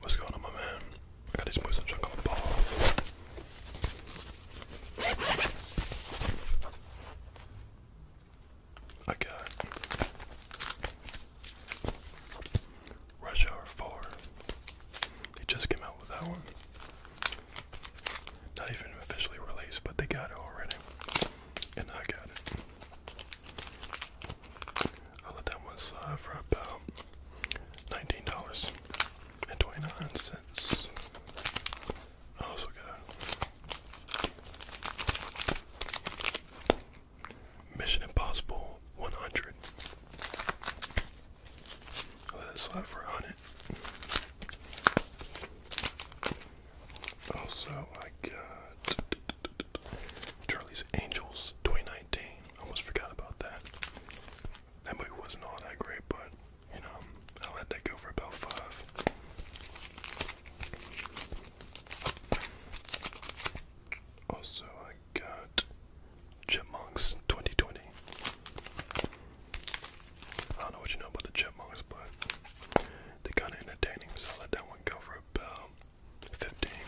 What's going on, my man? I got this moose chunk on I got Rush Hour 4. They just came out with that one. Not even officially released, but they got it already. And I got it i let that one slide for about nineteen dollars and twenty-nine cents. I also got Mission Impossible one hundred. let it slide for a hundred. Also, I got Charlie's Angels 2019. I Almost forgot about that. That movie wasn't all that great, but you know, I let that go for about five. Also, I got Chipmunks 2020. I don't know what you know about the Chipmunks, but they're kind of entertaining, so I let that one go for about fifteen.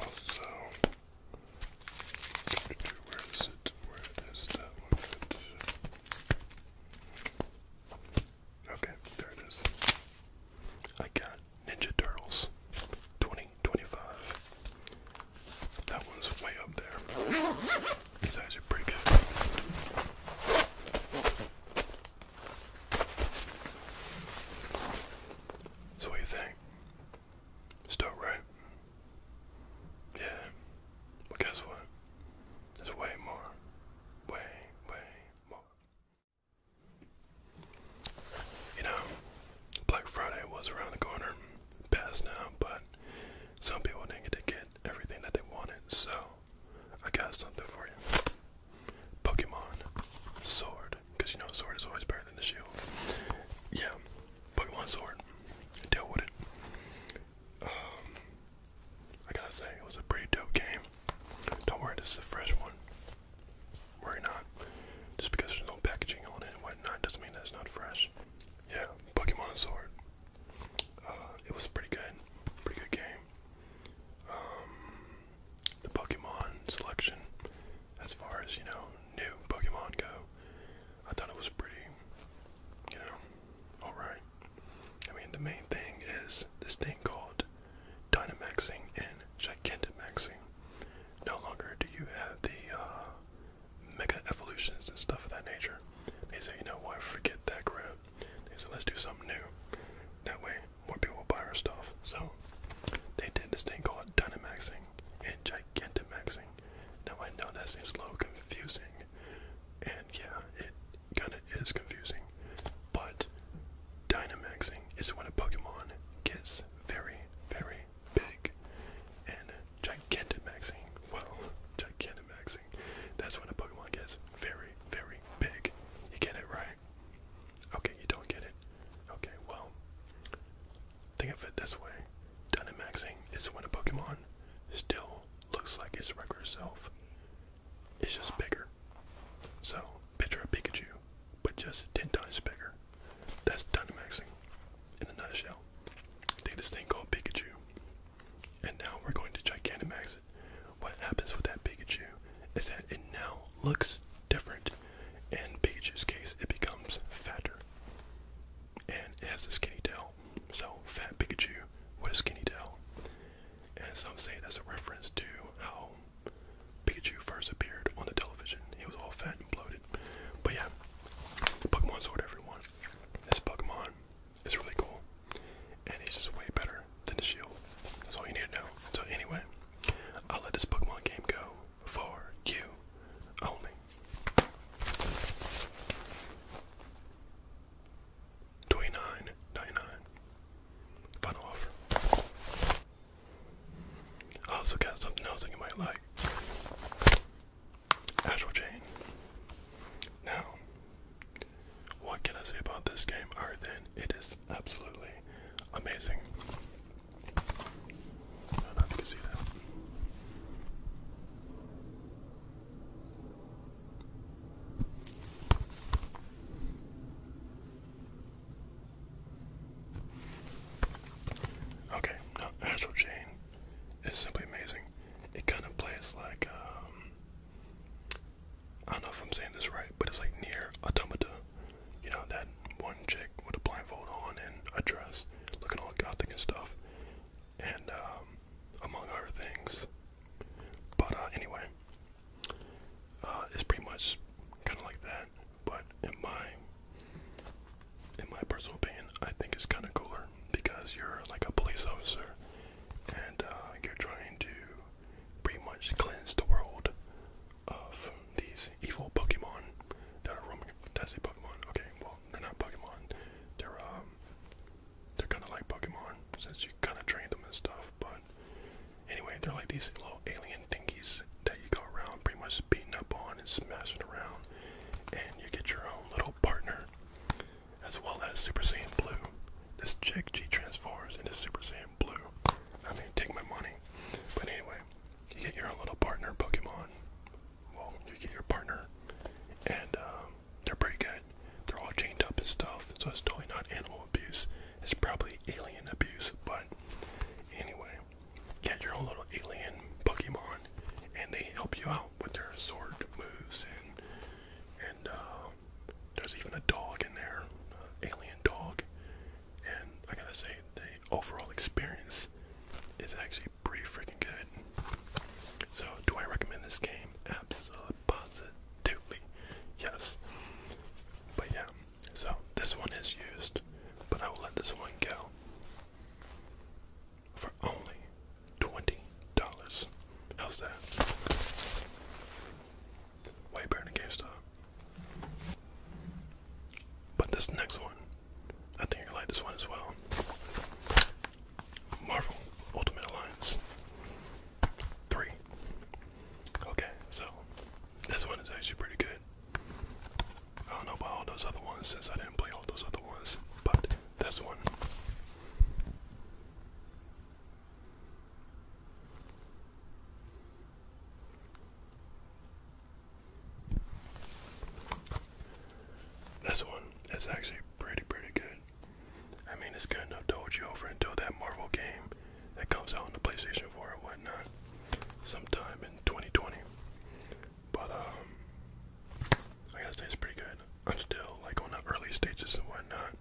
Also, where is it? Where is that one? Okay, there it is. I got Ninja Turtles 2025 that one's way up there. It's actually pretty good. So what you think? It's right? Yeah. Well guess what? There's way more. Way, way more. You know, Black Friday was around the corner. Past now, but some people didn't get to get everything that they wanted, so I got something for you. Pokemon Sword, because you know Sword is always better than the Shield. Yeah, Pokemon Sword, deal with it. Um, I gotta say, it was a pretty dope game. Don't worry, this is a fresh one. Worry not. Just because there's no packaging on it and whatnot doesn't mean that it's not fresh. Yeah, Pokemon Sword. Uh, it was pretty good, pretty good game. Um, the Pokemon selection, as far as you know, new Pokemon go, I thought it was pretty, you know, alright. I mean, the main thing is this thing called Dynamaxing and Gigantamaxing. No longer do you have the uh, mega evolutions and stuff of that nature. They say, you know what, forget that crap. They say, let's do something new. That way, more people will buy our stuff. So, they did this thing called Dynamaxing and Gigantamaxing. Now, I know that seems a little confusing, and yeah, it kind of is confusing, but Dynamaxing is when a Pokemon gets very, very big, and Gigantamaxing, well, gigantic maxing. That's when a Pokemon gets very, very big. You get it right? Okay, you don't get it. Okay, well, think of it this way. Dynamaxing is when a Pokemon still looks like its regular self. It's just bigger. So, picture a Pikachu, but just 10 times bigger. That's Dynamaxing in a nutshell. They have this thing called Pikachu. And now we're going to Gigantamax What happens with that Pikachu is that it now looks different. In Pikachu's case, it becomes fatter. And it has a skinny tail. So, fat Pikachu with a skinny tail. And some say that's a reference to how Pikachu first appeared on the television. He was all fat and bloated. But yeah, Pokemon Sword, everyone. This Pokemon it's really cool. And he's just way better than his shield. That's all you need to know. So anyway, I'll let this Pokemon game go for you only. Twenty-nine ninety-nine. Fun offer. I also got something else that you might like. Actual Chain. Now, what can I say about this game other than it is absolutely amazing? not know see that. Okay, now Astral Chain is simply amazing. It kind of plays like um, I don't know if I'm saying this right, but it's like near Automata. You know that one chick with a blindfold on and a dress, looking all gothic and stuff, and um, among other things. But uh, anyway, uh, it's pretty much kind of like that. But in my in my personal opinion, I think it's kind of cooler because you're like a police officer and uh, you're trying to pretty much cleanse the world of these evil Pokemon that are roaming. That's a Pokemon. Okay, well they're not Pokemon. They're um, they're kind of like Pokemon since you kind of train them and stuff. But anyway, they're like these little alien thingies that you go around pretty much beating up on and smashing around, and you get your own little partner as well as Super Saiyan Blue. This chick, she transforms into Super Saiyan Blue. I mean, take my money. But anyway, you get your own little partner Pokemon. Well, you get your partner, and um, they're pretty good. They're all chained up and stuff, so it's totally not animal abuse. It's probably alien abuse, but anyway, get your own little alien Pokemon, and they help you out with their sword moves and and um, there's even a dog in there, alien dog. And I gotta say, the overall experience is actually pretty freaking good. So, do I recommend this game? Absolutely, yes. But yeah, so this one is used, but I will let this one go for only $20. How's that? Way better than GameStop. But this next one, I think you're like this one as well. Marvel Ultimate Alliance 3. Okay, so this one is actually pretty good. I don't know about all those other ones since I didn't play all those other ones, but this one this one is actually pretty, pretty good. I mean, it's kind of to you over until that Marvel game that comes out on the PlayStation 4 or whatnot sometime in 2020. But, um, I gotta say it's pretty good. I'm still like on the early stages and whatnot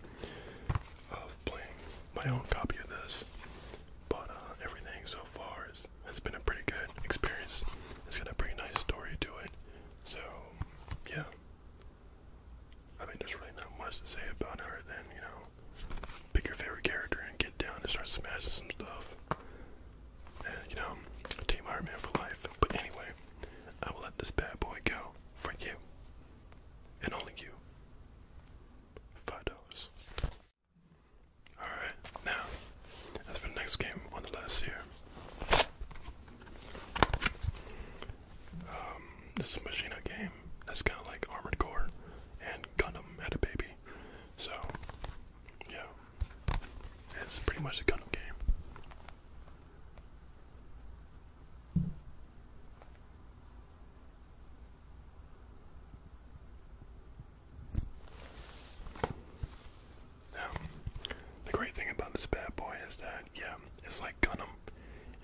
of playing my own copy of this, but uh, everything so far has been a pretty good experience. It's got a pretty nice story to it, so yeah. I mean, there's really not much to say about her. Then you know, pick your favorite character and get down and start smashing some stuff. And you know, Team Iron Man for life. But anyway, I will let this bad boy go for you and only you five all right now as for the next game on the last year. um, this is a machina game that's kind of like armored core and Gundam had a baby so yeah it's pretty much a Gundam game the great thing about this bad boy is that, yeah, it's like Gundam.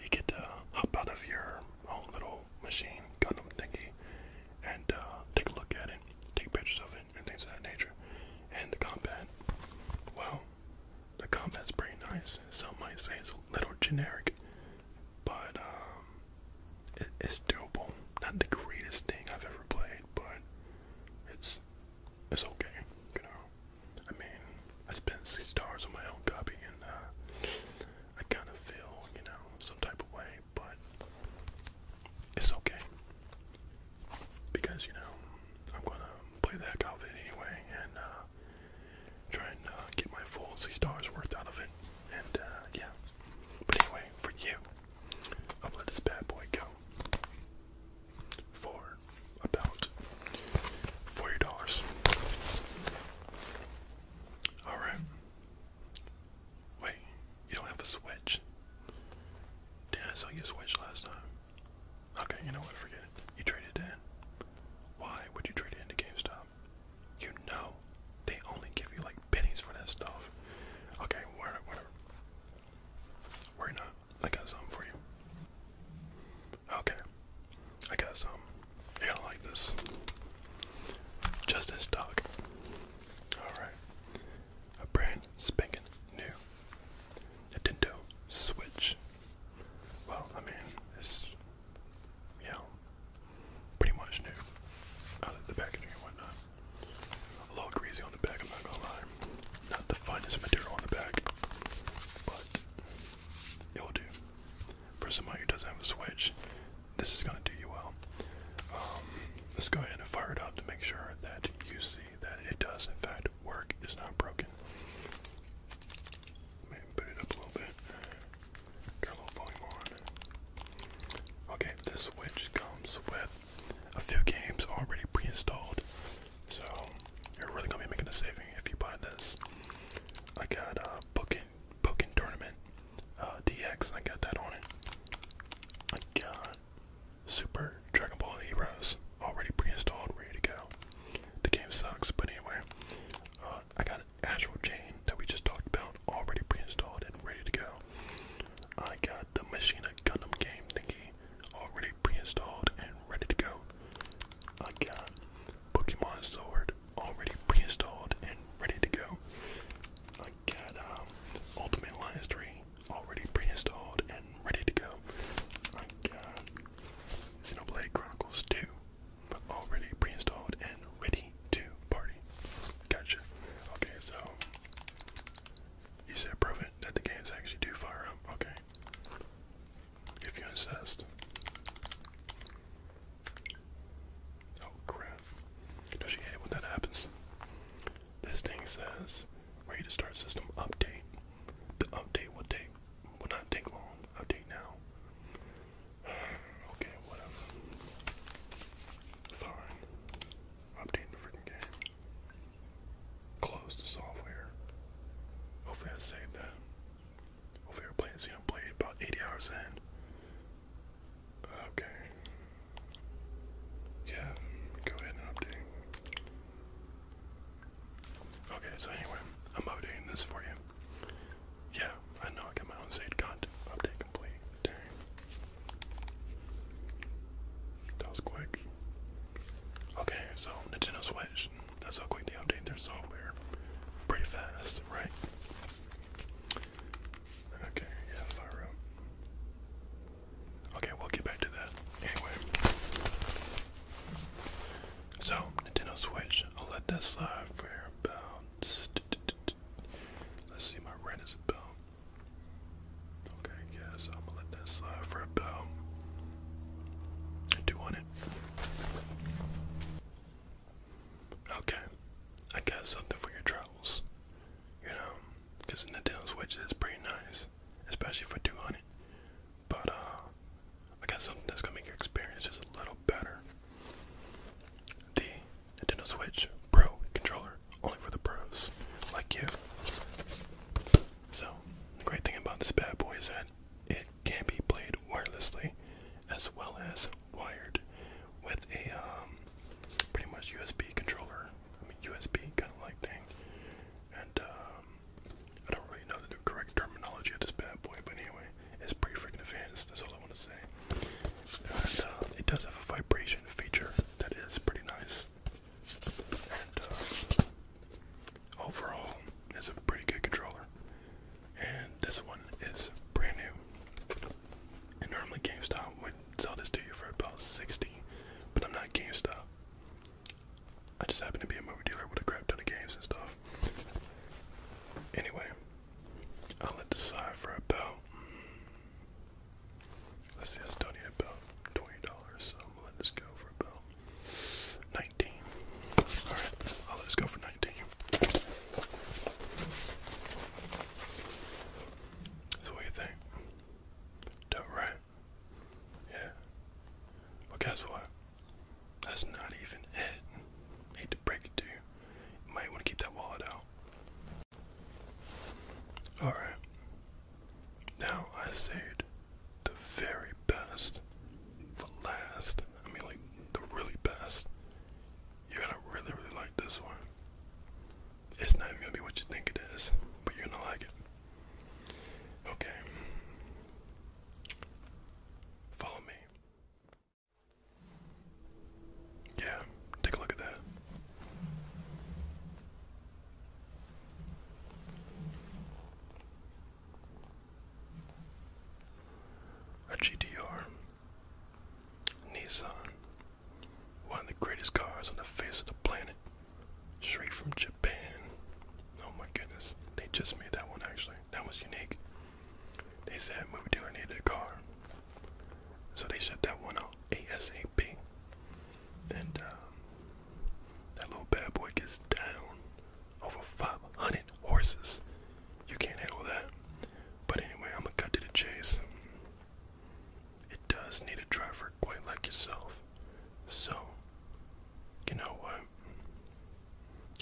You get to hop out of your own little machine, Gundam thingy, and uh, take a look at it, take pictures of it, and things of that nature. And the combat, well, the combat's pretty nice. Some might say it's a little generic, but um, it's doable. Not the greatest thing I've ever played, but it's it's okay. You know, I mean, I spent six stars on my own copy, and uh, I kind of feel you know some type of way, but it's okay because you know I'm gonna play that heck anyway, and. Uh, try and uh, get my full six dollars worth out of it. And uh, yeah, but anyway, for you, I'll let this bad boy go for about forty dollars. All right. Wait, you don't have a switch? Damn, I saw you switch last time. Okay, you know what? Forget it. You traded in. Why would you trade in to GameStop? You know, they only give you like pennies for that stuff. Okay, whatever. whatever. Worry not. I got something for you. Okay, I got some. You're going like this. Just this dog. Alright. A brand spanking new Nintendo Switch well, I mean, it's, know, pretty much new. I like the packaging and whatnot. A little greasy on the back, I'm not gonna lie. Not the finest material on the back, but it'll do. For somebody who doesn't have a Switch, this is gonna do you well. Um, let's go ahead and fire it up to make sure that you see that it does, in fact, work is not broken. Maybe put it up a little bit. Turn a little volume on. Okay, this Switch comes with a few games already pre-installed, so you're really gonna be making a saving if you buy this. I got a uh, Pokin Tournament uh, DX. I got that on it. I got Super Dragon Ball Heroes already pre-installed, ready to go. The game sucks, but anyway, uh, I got Astral Chain that we just talked about, already pre-installed and ready to go. I got the Machina Gundam game thingy, already pre-installed and ready to go. I got Pokemon Sword, already pre-installed and ready to go. I got um, Ultimate Alliance 3, already pre-installed and ready to go. I got Xenoblade Chronicles 2 already pre-installed and ready to party. Gotcha. Okay, so you said prove that the games actually do fire up. Okay. If you insist. Oh crap. Does she hate when that happens? This thing says ready to start system update. The update will take Will not take long. Update now. Okay, whatever. Fine. Update the freaking game. Close the software. Hopefully I saved that. Hopefully I played, see I played about 80 hours in. Okay. Yeah, go ahead and update. Okay, so anyway, I'm updating this for you. Yeah, I know I got my own Zade content update complete. That was quick. Okay, so Nintendo Switch. That's how quick they update their software. Pretty fast, right? Okay, yeah, fire Okay, we'll get back to that. Anyway. So, Nintendo Switch, I'll let that slide for about. Let's see, my rent is about. Okay, yeah, so I'm gonna let that slide for about. Two on it. Okay, I got something for your travels. You know, because Nintendo Switch is pretty nice, especially for 200. But uh, I got something that's gonna make your experience just a little better. The Nintendo Switch Pro controller, only for the pros like you. So, great thing about this bad boy is that it can be played wirelessly as well as wired with a um, pretty much USB controller, I USB kind of like thing, and um, I don't really know the correct terminology of this bad boy, but anyway, it's pretty freaking advanced. That's all I want to say. Uh, it does have a vibration feature that is pretty nice. And uh, overall, it's a pretty good controller. And this one is brand new. And normally GameStop would sell this to you for about 60 but I'm not GameStop. I just happen to be a movie dealer with a crap ton of games and stuff. Anyway, I'll let the side for about let's see, I still need about twenty dollars, so I'm letting this go for about nineteen. Alright, I'll let this go for nineteen. what do you think? right? Yeah. Well guess what? That's not even it. hate to break it to you. You might want to keep that wallet out. Alright. Now I saved the very best for last. I mean, like, the really best. You're gonna really, really like this one. It's not gonna be what you think it is, but you're gonna like it. Okay. Follow me. Yeah, take a look at that. A GTR. Nissan. One of the greatest cars on the face of the planet. Straight from Japan. Oh my goodness. They just made that one actually. That was unique. They said movie dealer needed a car. So they shut that one out ASAP. And uh, that little bad boy gets down over 500 horses. You can't handle that. But anyway, I'm gonna cut to the chase. It does need a driver quite like yourself. So, you know what?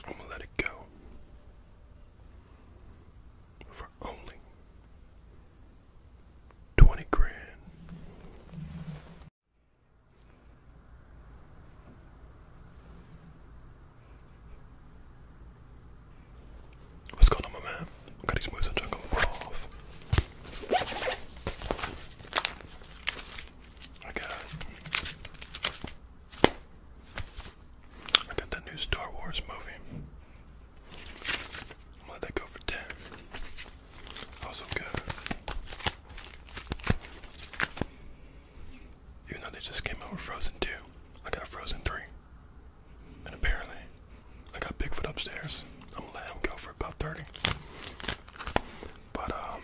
I'm gonna let it go for only twenty grand. What's going on, my man? I got these moves on jungle off. I got I got the new Star Wars movie. I'm gonna let that go for 10. Also good. Even though they just came out with Frozen 2, I got Frozen 3. And apparently, I got Bigfoot upstairs. I'm gonna let him go for about 30. But, um,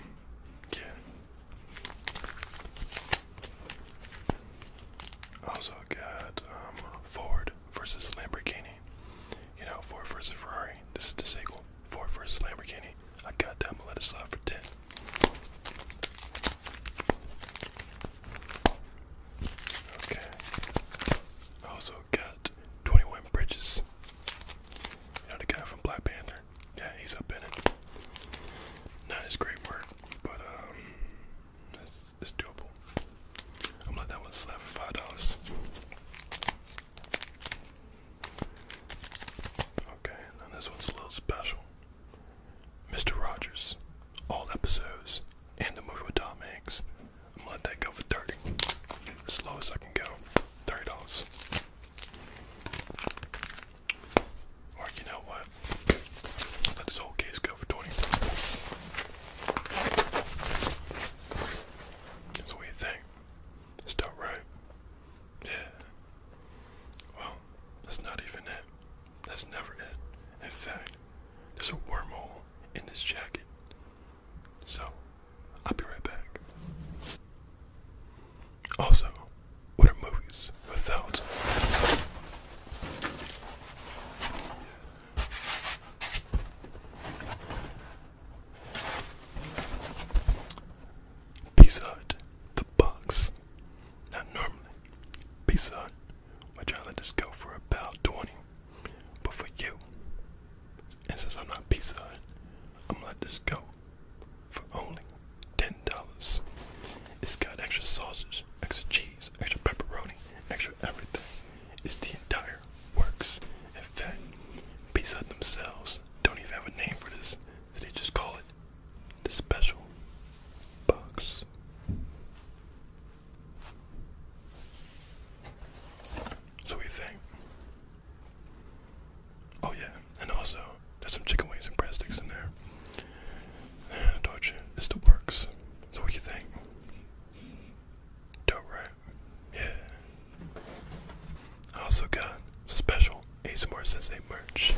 yeah. Also got um, Ford versus Lamborghini. You know, Ford versus Ferrari. This is the sequel. Ford versus Lamborghini. I got Let that Melissa for ten. Okay. Also got Twenty One Bridges. You know the guy from Black Panther yeah, he's up in it. Not his great work, but um, it's, doable. I'm gonna let that one slap for five dollars. Okay, now this one's a little special. Mr. Rogers, all episodes, and the movie with Tom Hanks. I'm gonna let that go for 30. As low as I can go. $30. Or you know what? Let this whole case go for 20. That's what you think. It's not right. Yeah. Well, that's not even it. That's never it. In fact, there's a wormhole in this jacket. So, I'll be right back. Also, what are movies without? Pizza Hut, the box. Now normally, Pizza Hut would try to let go for about 20. But for you, and since I'm not Pizza Hut, I'm going this go for only $10. It's got extra sausage, extra cheese, extra pepperoni, extra everything. It's the entire works. In fact, Pizza themselves don't even have a name for this. they just call it the special box. So we Oh yeah, and also there's some chicken wings and breadsticks in there. And I you, it's the works. So what you think? Dope, right? Yeah. I also got some special Ace Sensei merch.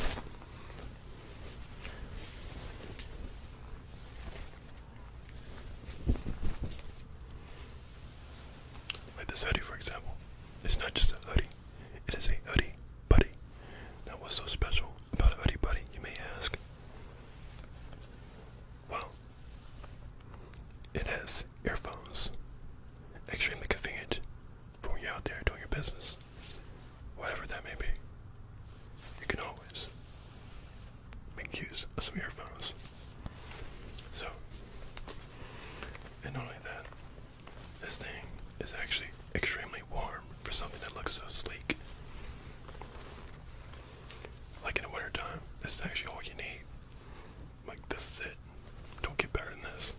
Like this hoodie, for example. It's not just a hoodie. It is a hoodie buddy. Now, what's so special about a hoodie buddy, you may ask? Well, it has earphones. Extremely convenient for when you're out there doing your business, whatever that may be. You can always make use of some earphones. So, and only that, this thing is actually extremely warm for something that looks so sleek. Like in the winter time, this is actually all you need. Like this is it. Don't get better than this.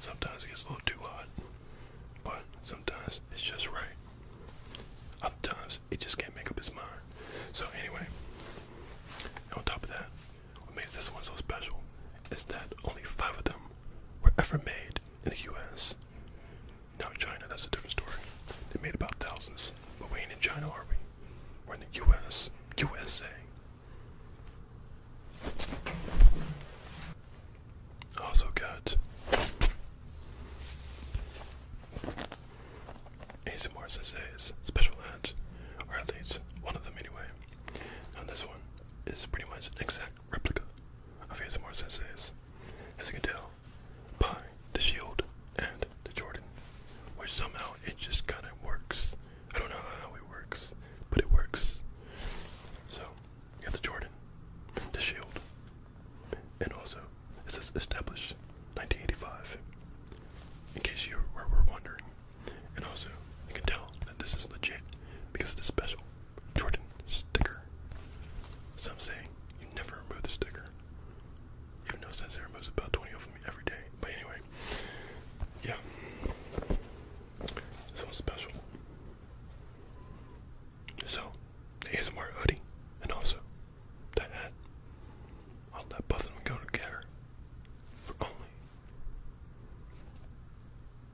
Sometimes it gets a little too hot, but sometimes it's just right. Other times it just can't make up its mind. So anyway, on top of that, what makes this one so special is that only five of them were ever made in the US. Now, China, that's a different story. They made about thousands, but we ain't in China, are we? We're in the US. USA. Also got ASMR SSA's special ads, or at least one of them anyway. And this one is pretty much exactly exact replica of more senses, as you can tell, by the shield and the Jordan, which somehow it just kind of works. I don't know how it works, but it works. So, you got the Jordan, the shield, and also it says established 1985, in case you were wondering. And also, you can tell that this is legit because it's special Jordan sticker. Some say you never remove the sticker. You Even though Sensei removes about 20 of them every day. But anyway, yeah. This one's special. So, the ASMR hoodie, and also that hat. I'll let both of them go together for only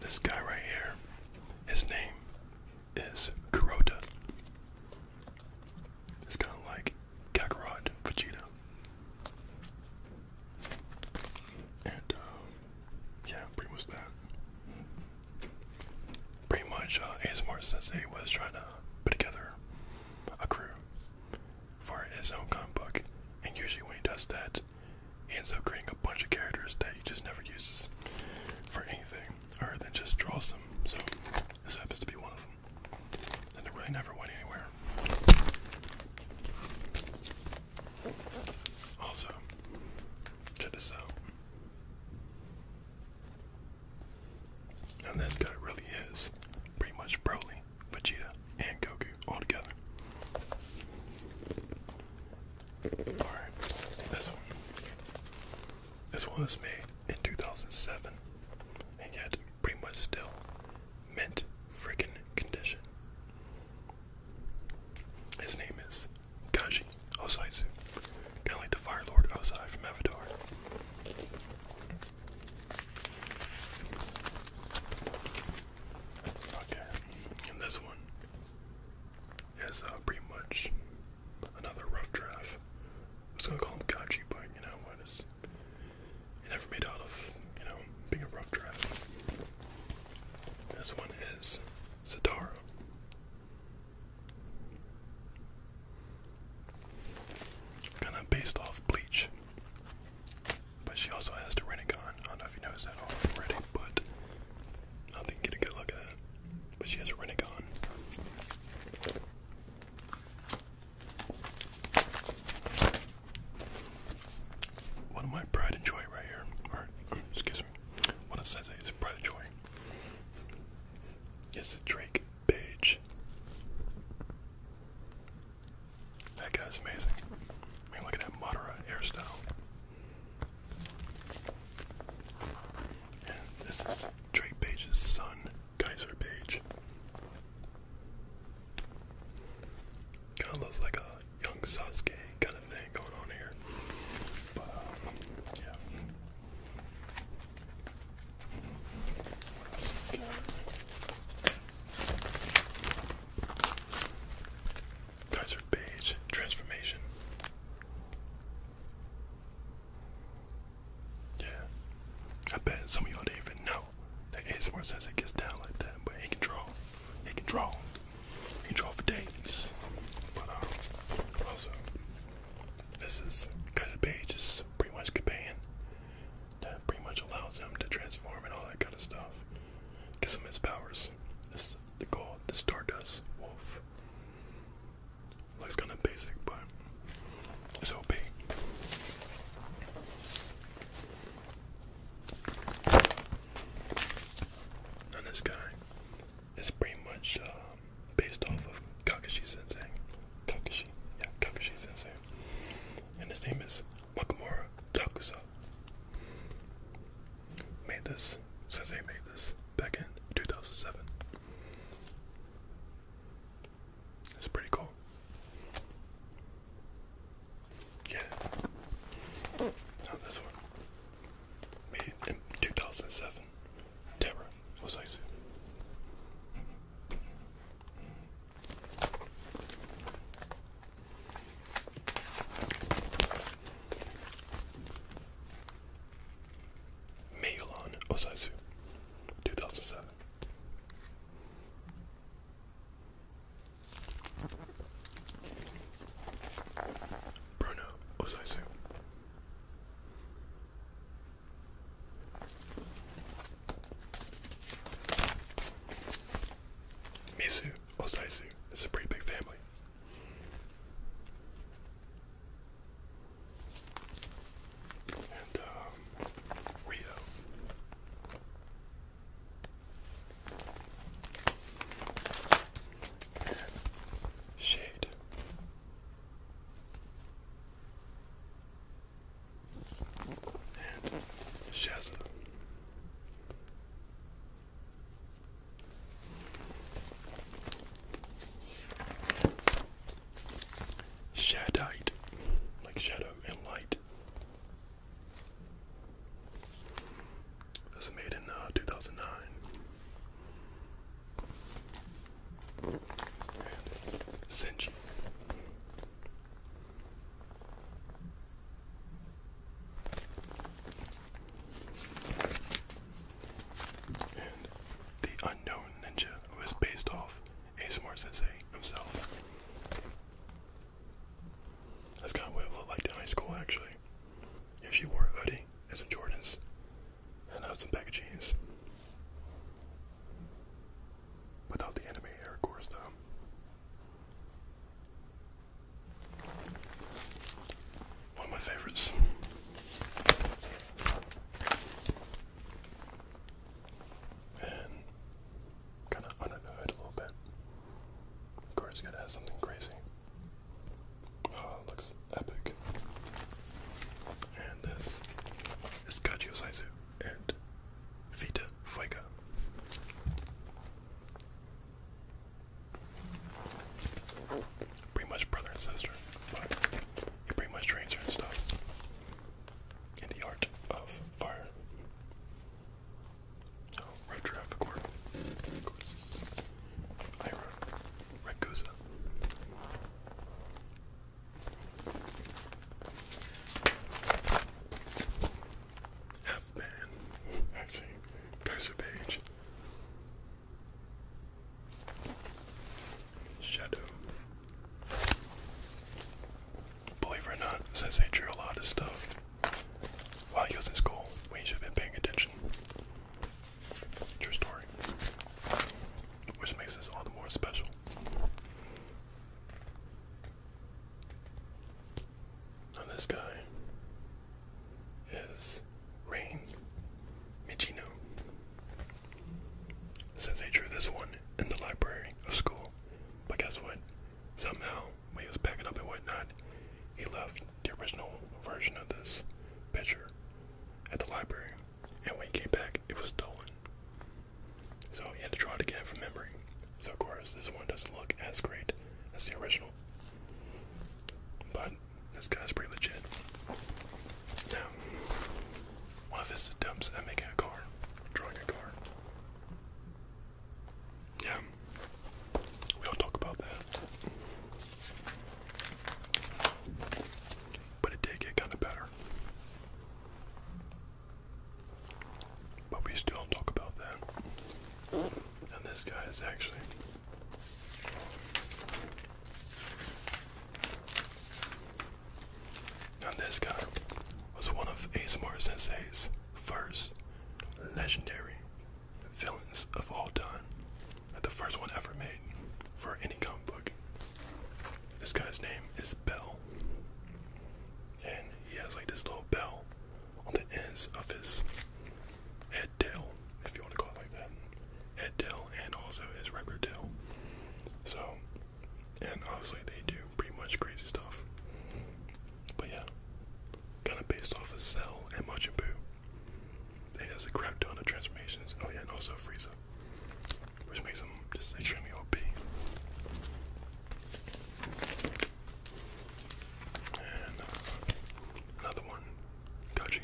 This guy right here, his name is Kurota. It's kind of like Kakarot Vegeta. And, um, yeah, pretty much that. Pretty much, uh, was trying to put together a crew for his own comic book, and usually when he does that, he ends up creating a bunch of characters that he just never uses for anything, or then just draws them. So this happens to be one of them, and it really never went anywhere. Also, check this out. And this guy really is pretty much Broly. Vegeta, and Goku all together. Alright, this one. This one was made in 2007 and yet pretty much still mint freaking condition. His name is Kaji Osaitsu, kind the Fire Lord Osai from Avatar. Okay, and this one is uh, pretty much another rough draft. I was gonna call him Gachi, but you know what is it never made out of, you know, being a rough draft. This one is Satara. Kinda based off Bleach. But she also has a Renegon. I don't know if you noticed that already, but I think get a good look at that. But she has a Renegon. One of my pride and joy right here. excuse me. One of Sensei's is pride and joy. It's a Drake Beige. That guy's amazing. I mean, look at that Madara hairstyle. this is Drake Page's son, Kaiser Page. Kind of looks like a young Sasuke kind of thing going on here. Um, Kaiser Page transformation. Yeah. I bet some of y'all didn't even know that ASMR says it gets down like that, but he can draw. He can draw. He can for days. But uh, also, this is Kaiser Page is pretty much Caban. That pretty much allows him to transform and all that kind of stuff. Gives him his powers. This is the goal, the Stardust Wolf. Looks kinda basic, but it's OP. And this guy is pretty much uh, based off of Kakashi Sensei. Kakashi, yeah, Kakashi Sensei. And his name is Makamura Takusa made this. Says they made this back in 2007. It's pretty cool. Yeah. Now this one. Made in 2007. Terra Osaisu. Meilan Osaizu, 2007. Bruno Osaizu. Mizu Osaizu. It's a pretty big family. And um, Rio. And shade. And Shazza. Shadite, like shadow and light. This was made in uh, 2009. Senji the unknown ninja who is based off a smart sensei himself. That's kind of what I looked like in high school actually. Yeah, she wore a hoodie and some Jordans. And had uh, some pack of jeans. Without the anime hair, of course, though. One of my favorites. And kind of unheard a little bit. Of course, gotta have something crazy. Oh, looks epic. And this is Kaji and Vita Fuego. Pretty much brother and sister, but he pretty much trains her and stuff in the art of fire. Oh, traffic work. Ira Ragusa half Actually, Kaiser Page. Shadow. Believe it or not, Sensei drew a lot of stuff while he was in school when should have paying attention. True story. Which makes this all the more special. And this guy is Rain Michino. Since they drew this one in the library of school, but guess what? Somehow, when he was packing up and whatnot, he left the original version of this picture at the library, and when he came back, it was stolen. So he had to draw it again from memory. So, of course, this one doesn't look as great as the original but this guy's pretty legit. Now, one of his attempts at making a car, drawing a car. Yeah, we don't talk about that. But it did get kind of better. But we still don't talk about that than this guy is actually. And this guy was one of ASMR Sensei's first legendary villains of all time. the first one ever made for any comic book. This guy's name is Bell. And he has like this little bell on the ends of his head tail, if you want to call it like that. Head and also his regular tail. So, and obviously they do pretty much crazy stuff. But yeah, kind of based off of Cell and Majin Buu. It has a crap ton of transformations. Oh yeah, and also Frieza, which makes him just extremely OP. Uh, another one, Koji.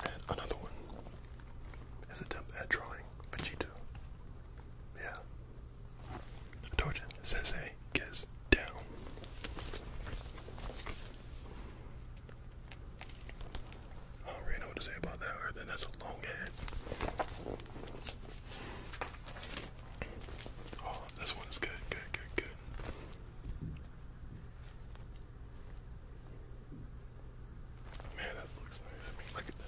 And another one is attempt at drawing Vegeta. Yeah. I told you, down. I do know what to say about that, that's a long head. Oh, this one good, good, good, good. Man, that looks nice. look at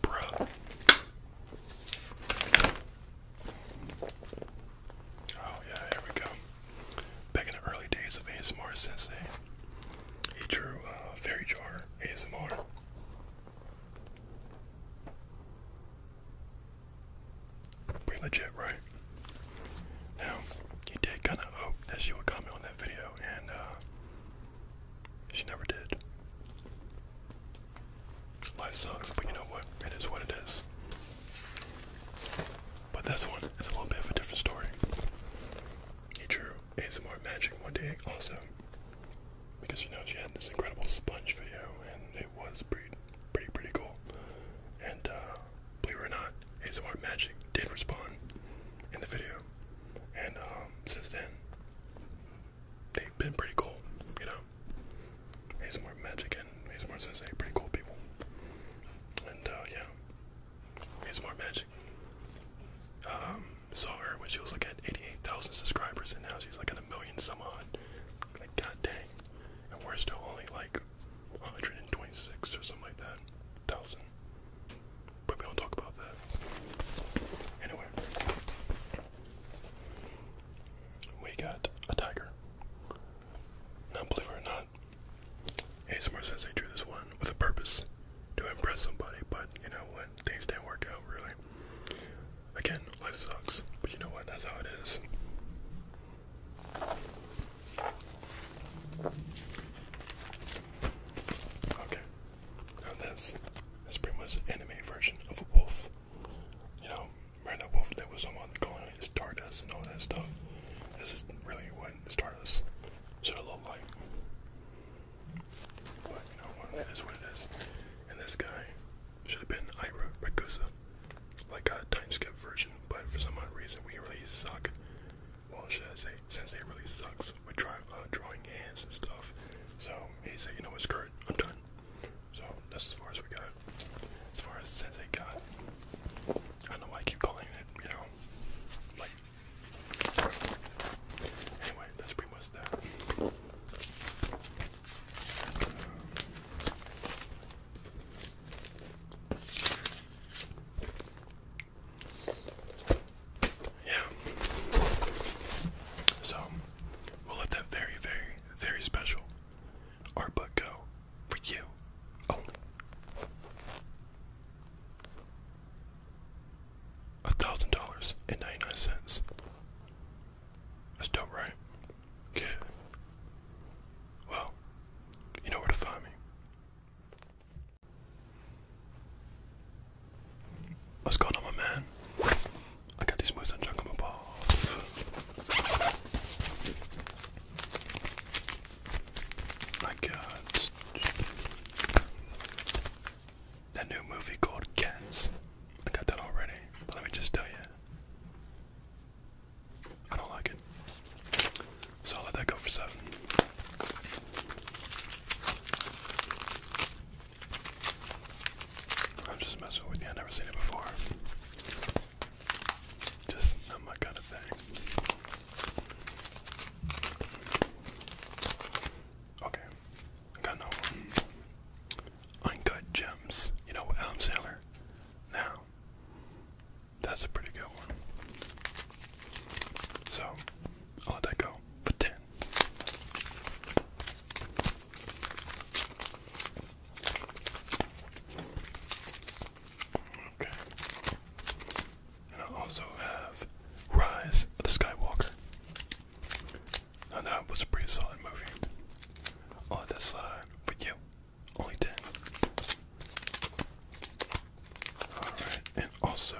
that. Bruh. Oh yeah, here we go. Back in the early days of ASMR Sensei, he drew uh, Fairy Jar ASMR. Pretty legit, right? Now, he did kind of hope that she would comment on that video, and uh, she never did. Life sucks, but you know what? It is what it is. But this one is a little bit of a different story. He drew More Magic one day also. Because you know she had this incredible sponge video and it was pretty pretty pretty cool. And uh believe it or not, More Magic did respond in the video. And um since then they've been pretty cool, you know. More Magic and ASMR Sensei, pretty cool people. And uh yeah, it's more magic. Um, saw her when she was like at 88,000 subscribers, and now she's like at a million some odd. Like, god dang. And we're still only like 126 or something like that. Thousand. But we don't talk about that. Anyway. We got a tiger. Now, or not, more sense they drew this one with a purpose to impress somebody, but you know what? Things didn't work out really. Again, life sucks, but you know what? That's how it is. Okay, now this is pretty much anime version of a wolf. You know, remember wolf that was on going Stardust and all that stuff. This is really what Stardust should have looked like. But you know what? It is what it is. And this guy should have been Ira Ragusa, like a time skip version. But for some odd reason, we really suck. Well, should I say, Sensei really sucks with dry, uh, drawing hands and stuff. So he said, you know what, skirt, I'm done. So that's as far as we got. As far as Sensei got. I don't know why I keep calling it, you know, that's pretty much that. yeah. So, we'll let that very, very, very special art book go for you. Oh. A thousand dollars and ninety nine cents. That's dope, right? Good. Well, you know where to find me. What's going on, my man? I got these moves on Jungle Ball. I got that new movie called Cats. I got that already, let me just tell you, I don't like it. So I'll let that go for seven. I'm just messing with you. I've never seen it before. Just not my kind of thing. Okay, got no uncut gems. You know what, Adam Sandler? Now, that's a pretty good one. So, i let that go for 10. Okay. And I also have Rise of the Skywalker. Now that was a pretty solid movie. On this side for you. Only 10. Alright, and also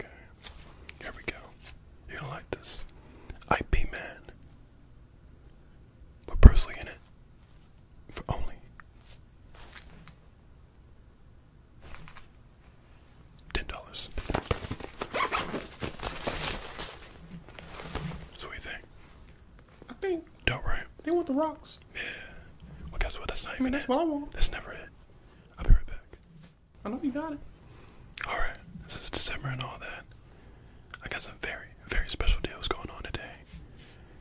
Okay. Here we go. You're gonna like this. IP Man. With Bruce Lee in it. For only ten dollars. So what do you think? I think. Don't worry. They want the rocks. Yeah. Well, guess what? That's not even that's What I want. That's never it. I'll be right back. I know you got it. Alright, since December and all that, I got some very, very special deals going on today.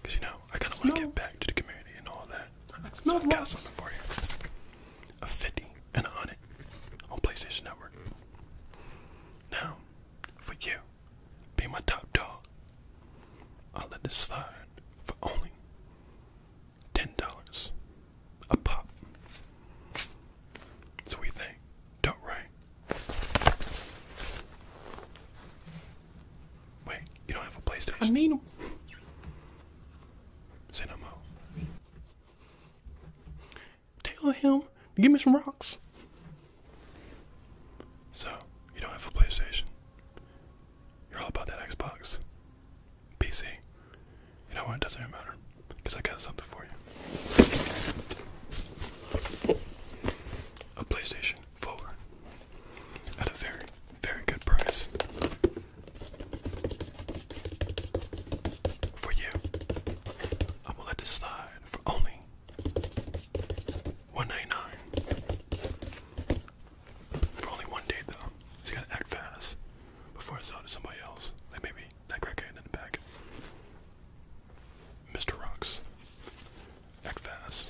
Because, you know, I kind of want to give back to the community and all that. That's so I got lots. something for you. A 50 and a 100 on PlayStation Network. Now, for you, be my top dog. I'll let this slide for only $10 a pop. So we think, don't right? Wait, you don't have a PlayStation? I mean, cinema. Tell him give me some rocks. So you don't have a PlayStation. You're all about that Xbox, PC. You know what? It doesn't even matter. Because I got something for you. A PlayStation 4 at a very, very good price. For you. I'm let this slide for only $1.99. For only one day though. you gotta act fast before I sell it to somebody else. Like maybe that crackhead in the back. Mr. Rocks. Act fast.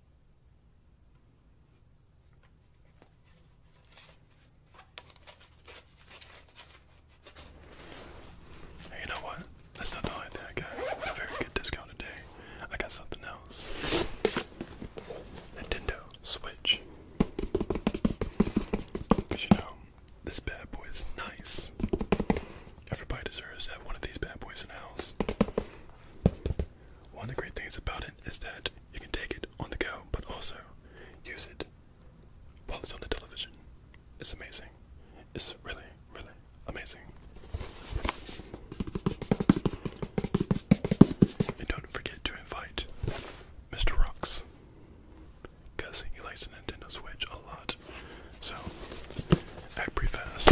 you know what? Let's not die there, guys. Got a very good discount today. I got something else. Nintendo Switch. Cause you know, this bad boy is nice. Everybody deserves to have one of these bad boys in the house. One of the great things about it is that you can take it on the go, but also use it while it's on the television. It's amazing. It's really, really amazing. And don't forget to invite Mr. Rocks, because he likes the Nintendo Switch a lot. So, act fast.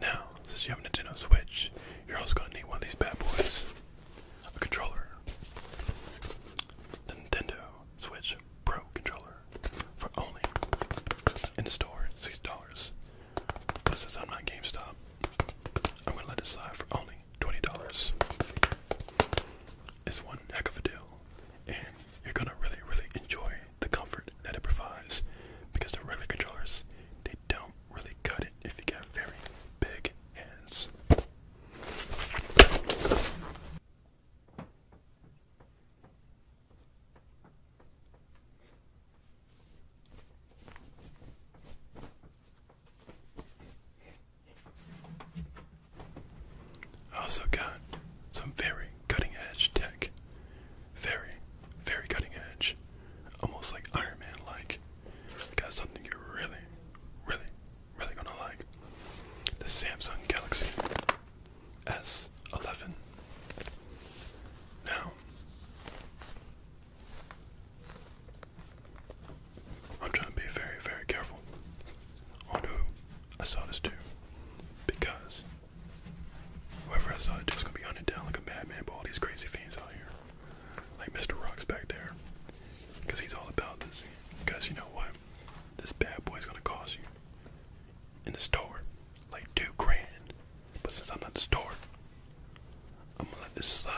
Now, since you have a Nintendo Switch, you're also going to need one of these bad boys a controller. The Nintendo Switch Pro controller for only in the store $6. Plus, it's I'm GameStop, I'm gonna let it slide for only twenty dollars. It's one heck of a deal, and you're gonna really, really enjoy the comfort that it provides because the regular controllers they don't really cut it if you get very big hands also got some very cutting edge tech. Very, very cutting edge. Almost like Iron Man like. Got something you're really, really, really gonna like. The Samsung Galaxy S11. Now, I'm trying to be very, very careful on who I saw this to because whoever I saw this to is going to be hunted down like a madman by all these crazy fiends out here. Like Mr. Rock's back there because he's all about this. Because you know what? This bad boy's going to cost you in the store like two grand. But since I'm not the store, I'm gonna let this slide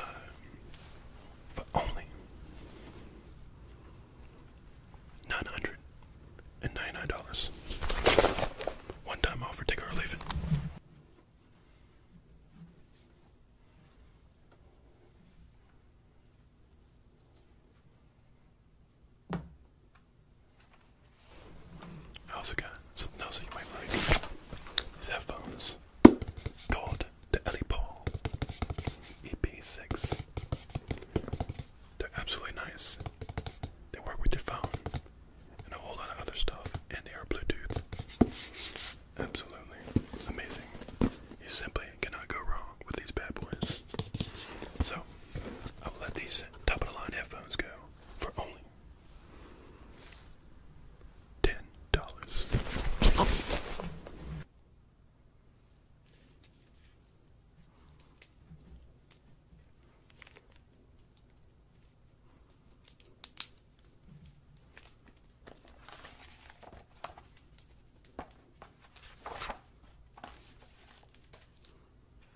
for only nine hundred and ninety-nine dollars. One time offer, take or leave it. I also got something else that you might like. These headphones called the Ellie Paul EP6. They're absolutely nice. They work with your phone and a whole lot of other stuff, and they are Bluetooth. Absolutely amazing. You simply cannot go wrong with these bad boys. So, I'll let these top of the line headphones go for only ten dollars.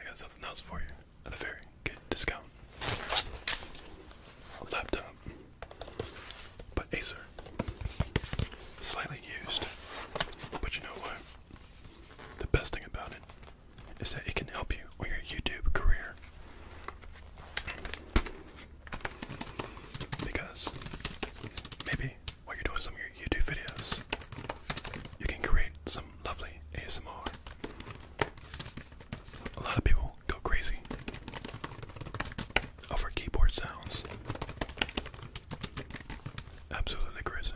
I got something else for you at a very good discount. A laptop, but Acer. Slightly used, but you know what? The best thing about it is that it can help you on your YouTube career. Because maybe while you're doing some YouTube videos, you can create some lovely ASMR. A lot of people go crazy over keyboard sounds. Absolutely crazy.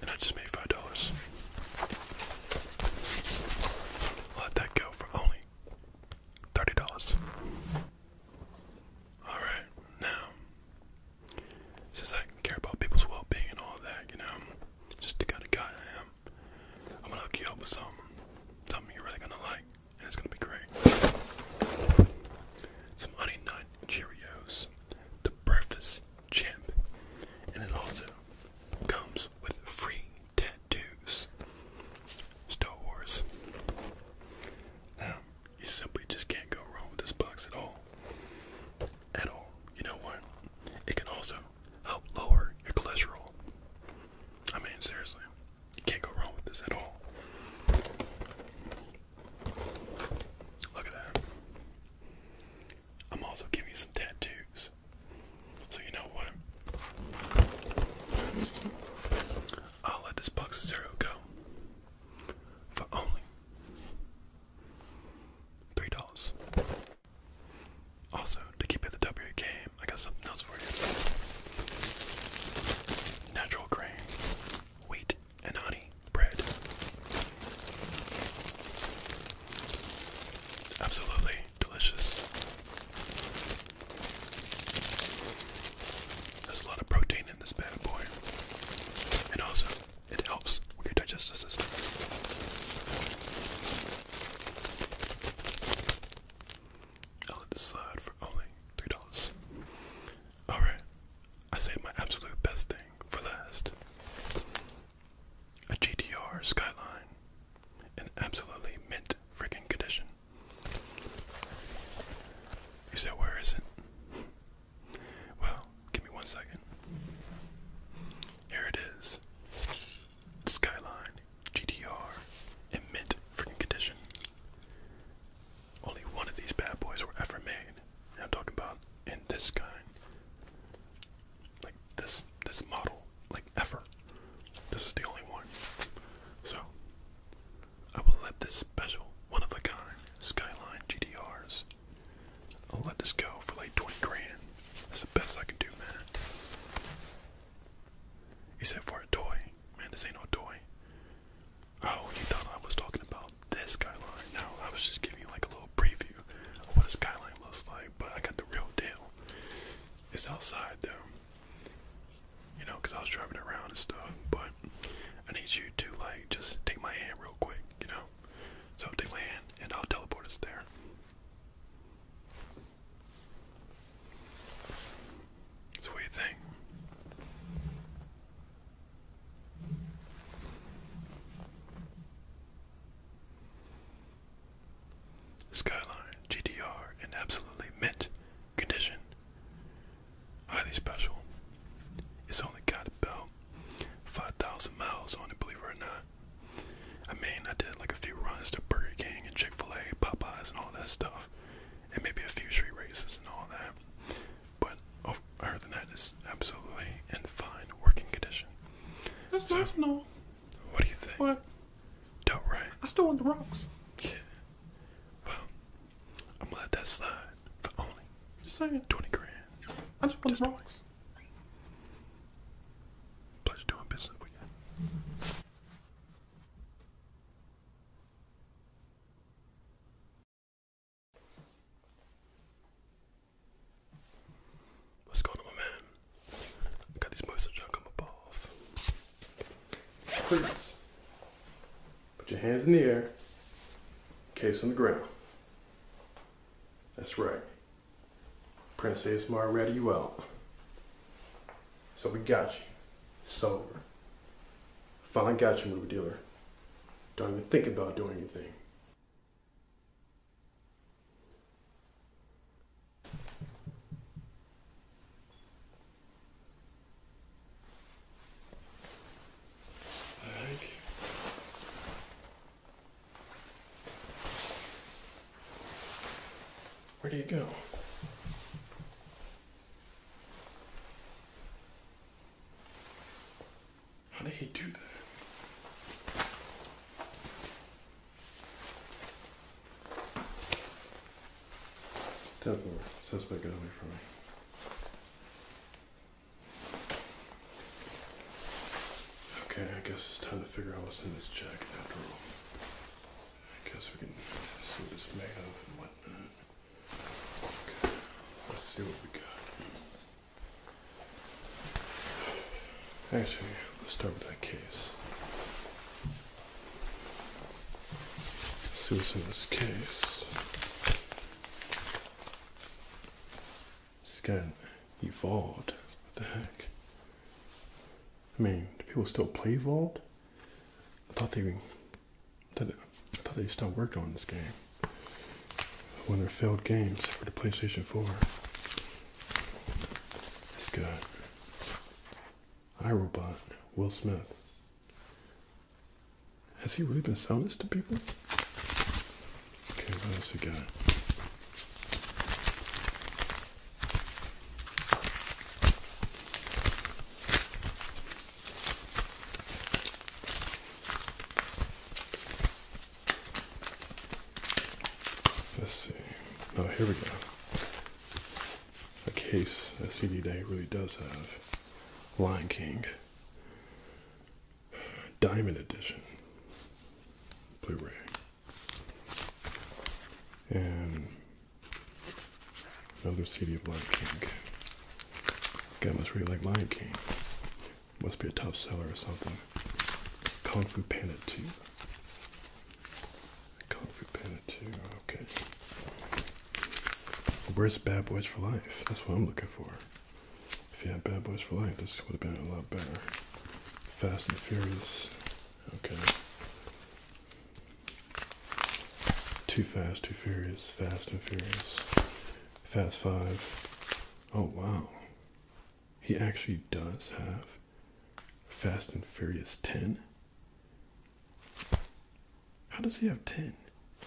And I just made five dollars. Let that go for only thirty dollars. Alright, now since I care about people's well being and all that, you know, just the kind of guy I am, I'm gonna hook you up with something. Something you're really gonna like it's gonna be great. Some honey nut Cheerios, the breakfast champ, and it also comes with free tattoos. Star Wars. Now, um, you simply just can't go wrong with this box at all. At all. You know what? It can also help lower your cholesterol. I mean, seriously. You can't go wrong with this at all. Look at that. I'm also giving you some tattoos. So you know what? I'll let this box of zero go for only three dollars. Also, to keep it the W game, I got something else for you natural grain, wheat and honey bread. Absolutely delicious. There's a lot of protein in this bad boy. And also, it helps with your digestive system. I'll let this only three dollars. Alright, I saved my absolute best thing for last. A GTR Skyline in absolutely mint freaking condition. You said, where is it? Well, give me one second. Here it is. Skyline GTR in mint freaking condition. Only one of these bad boys were ever made. And I'm talking about in this kind. Like this this model. Like ever. This is the only one. So I will let this special one of a kind Skyline GDRs. I'll let this go for like 20 grand. That's the best I can do, man. You said for a toy. Man, this ain't no toy. Oh, you thought I was talking about this skyline. No, I was just giving you like a little preview of what a skyline looks like, but I got the real deal. It's outside though. You know, because I was driving around and stuff, but I need you to like just take my hand real quick, you know? So take my hand and I'll teleport us there. So what Skyline GTR in absolutely mint condition. Highly special. It's only got about 5,000 miles on it, believe it or not. I mean, I did like a few runs to Burger King and Chick fil A, Popeyes, and all that stuff and maybe a few street races and all that. But over, other than that, is absolutely in fine working condition. That's so, nice and What do you think? What? Don't right. I still want the rocks. Yeah. Well, I'm gonna let that slide for only just saying. twenty grand. I just want the rocks. Pleasure doing business with you. What's going on, my man? I got this moisture junk on my balls. Please, put your hands in the air, case on the ground. That's right. Prince Mar ready you out. So we got you. sober. Fine, got you, movie dealer. Don't even think about doing anything. Where do you go? How did he do that? Tap over. Suspect got away from me. Okay, I guess it's time to figure out what's in this jacket after all. I guess we can see what it's made of and whatnot. Let's see what we got. Actually, let's start with that case. See what's in this case. It's evolved. What the heck? I mean, do people still play Vault? I thought they were. I thought, I thought they still worked on this game. One of their failed games for the PlayStation 4. It's good. iRobot, Will Smith. Has he really been selling this to people? Okay, what else we got? Let's see. Oh, here we go. A case that CD Day really does have Lion King Diamond Edition Blu ray. And Another CD of Lion King. Again, must really like Lion King. Must be a top seller or something. Kung Fu Panda 2. Kung Fu Panda 2, okay. Where's Bad Boys for Life? That's what I'm looking for. If you had Bad Boys for Life, this would have been a lot better. Fast and Furious. Okay. Too Fast, Too Furious, Fast and Furious, Fast Five. Oh wow. He actually does have Fast and Furious 10. How does he have 10? I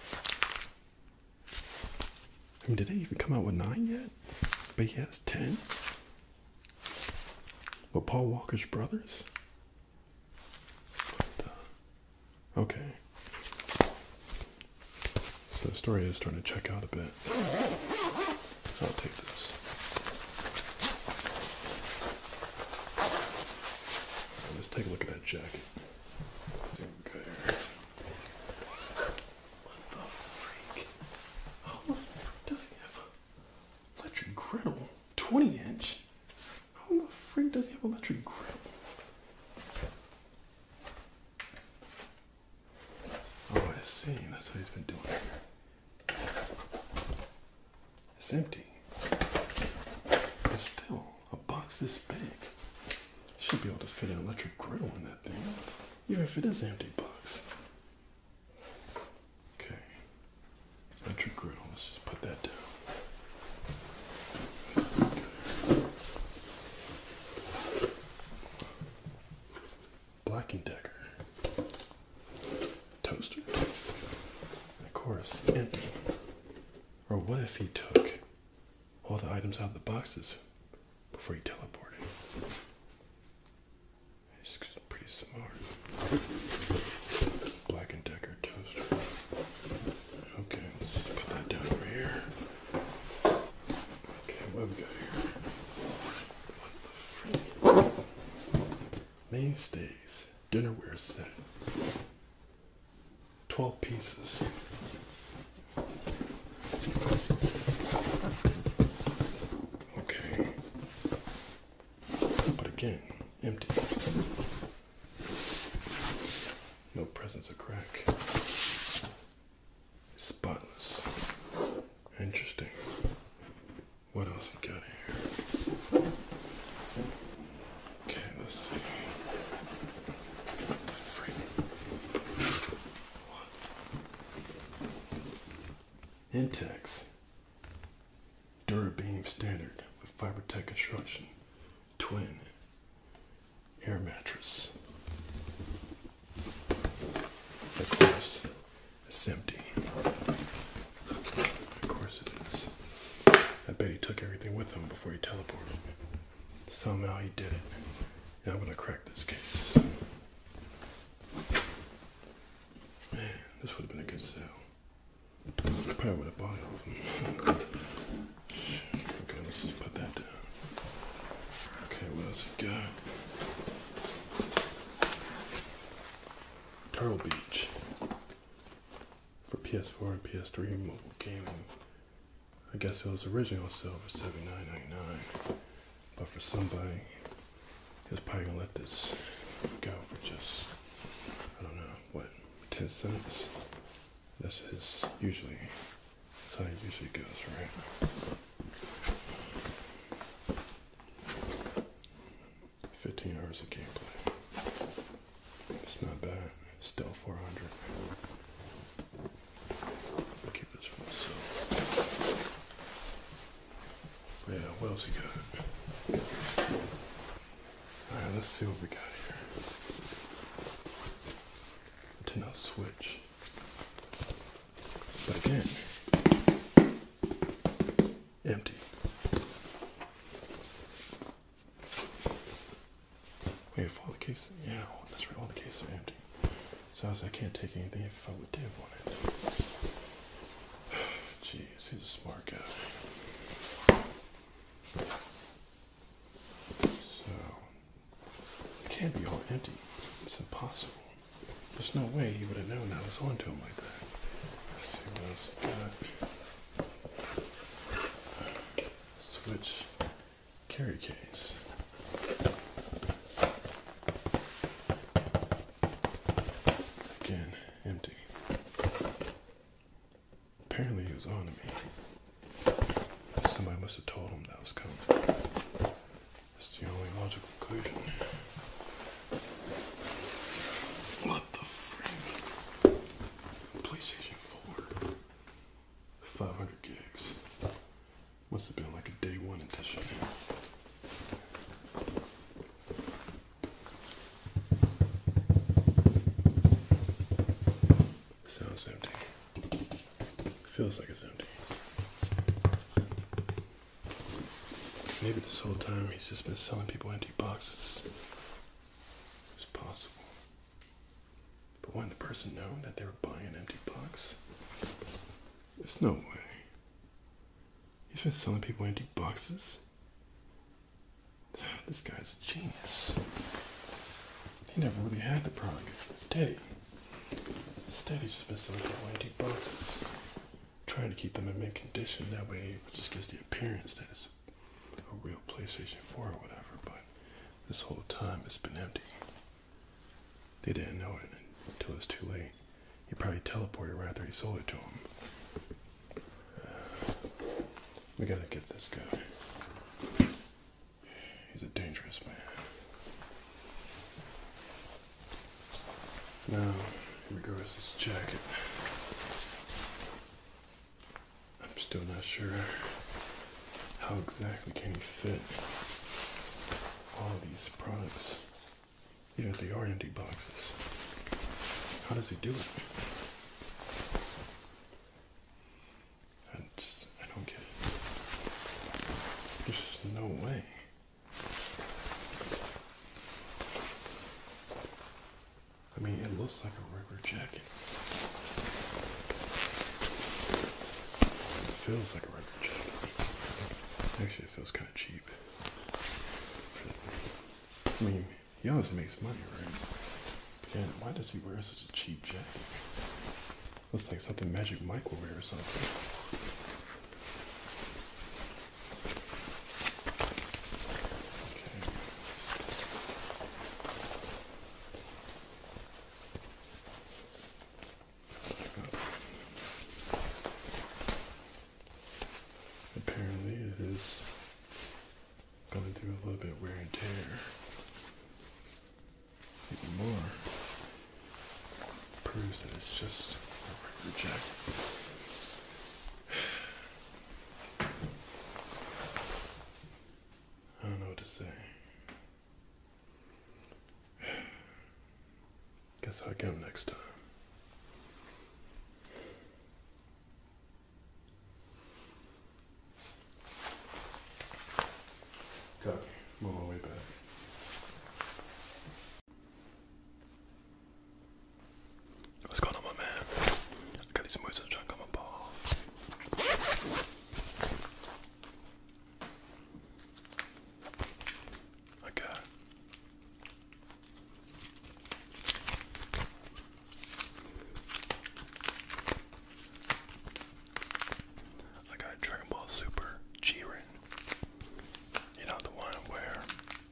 mean, did they even come out with 9 yet? But he has 10? But Paul Walker's brothers? okay. So the story is starting to check out a bit. So I'll take this. let's take a look at that jacket. What the freak? Oh, does he have a electric griddle? 20 inch? How the freak does he have an electric grill? Oh, I see. That's what he's been doing here. It's empty. But still, a box this big should be able to fit an electric grill in that thing, even if it is empty box. Okay, electric grill. Let's just put that down. Black and Decker toaster. of course, empty. Or what if he took all the items out of the boxes before he teleported? He's pretty smart. Black and Decker toaster. Okay, let's just put that down over here. Okay, what we got here? What the freak? Mainstays dinnerware set. 12 pieces. Okay. But again, empty. No presence of crack. Spotless. Interesting. What else we got here? Okay, let's see. What the freak? What? Intex. Durabeam standard with fiber tech construction twin air mattress. Of course, it's empty. Of course it is. I bet he took everything with him before he teleported. Somehow he did it. And I'm gonna crack this case. Man, this would have been a good sale. I probably would have bought it Okay, let's just put that down. Okay, what else you got? Turtle Beach for PS4 and PS3 mobile gaming. I guess it was original sale for $79.99, but for somebody, he's probably gonna let this go for just I don't know what 10 cents. This is usually how it usually goes, right? Fifteen hours of gameplay. It's not bad. Still four hundred. Keep this for myself. yeah, what else you got? Alright, let's see what we got here to now switch. But again, empty. Wait, if the cases, yeah, oh, that's right, all the cases are empty. So I can't take anything if I would did want it. Jeez, he's a smart guy. So it can't be all empty. It's impossible. There's no way he would have known I was onto him like that. Let's see what else I got. Switch carry case. Again, empty. Apparently he was on to me. Somebody must have told him that was coming. That's the only logical conclusion. What the freak? PlayStation 4. 500 gigs. Must have been like a day one edition. Sounds empty. Feels like it's empty. Maybe this whole time he's just been selling people empty boxes. It's possible. But wouldn't the person know that they were buying an empty box? There's no way. He's been selling people empty boxes. This guy's genius. He never really had the problem. Steady. Steady's just been selling for antique boxes. Trying to keep them in mint condition. That way it just gives the appearance that it's a real PlayStation 4 or whatever, but this whole time it's been empty. They didn't know it until it's too late. He probably teleported right after he sold it to him. Uh, we gotta get this guy. He's a dangerous man. Now, here goes his jacket. I'm still not sure how exactly can he fit all these products. Yeah, they are empty boxes. How does he do it? I just I don't get it. There's just no way. I mean, it looks like a regular jacket. It feels like a regular jacket. Actually, it feels kind of cheap. I mean, he always makes money, right? But why does he wear such a cheap jacket? Looks like something Magic Mike or something. Okay. Apparently it is going through a little bit wear and tear even more proves that it's just a record jack. I don't know what to say. Guess I'll come next time. Okay, move our way back. What's going on, my man? got these moves in the trunk on my ball. I got Dragon Ball Super Giren. You know the one where,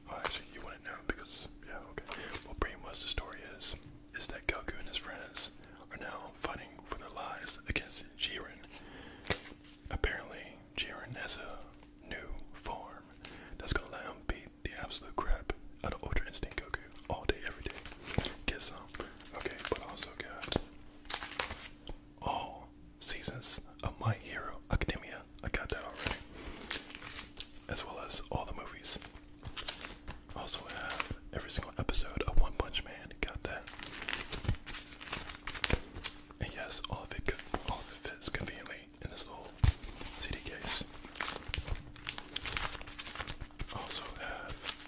well, oh, actually you wouldn't know because yeah okay. Well, pretty much the story is is that Goku and his friends are now fighting for their lives against Giren. Apparently, Giren has a new form that's gonna let him beat the absolute crap out of Ultra Instinct Goku all day, every day. Get some. Okay, but also got all seasons of My Hero Academia. I got that already. As well as all the movies. Also have every single episode of One Punch Man. Got that. And yes, all of it, all of it fits conveniently in this little CD case. Also have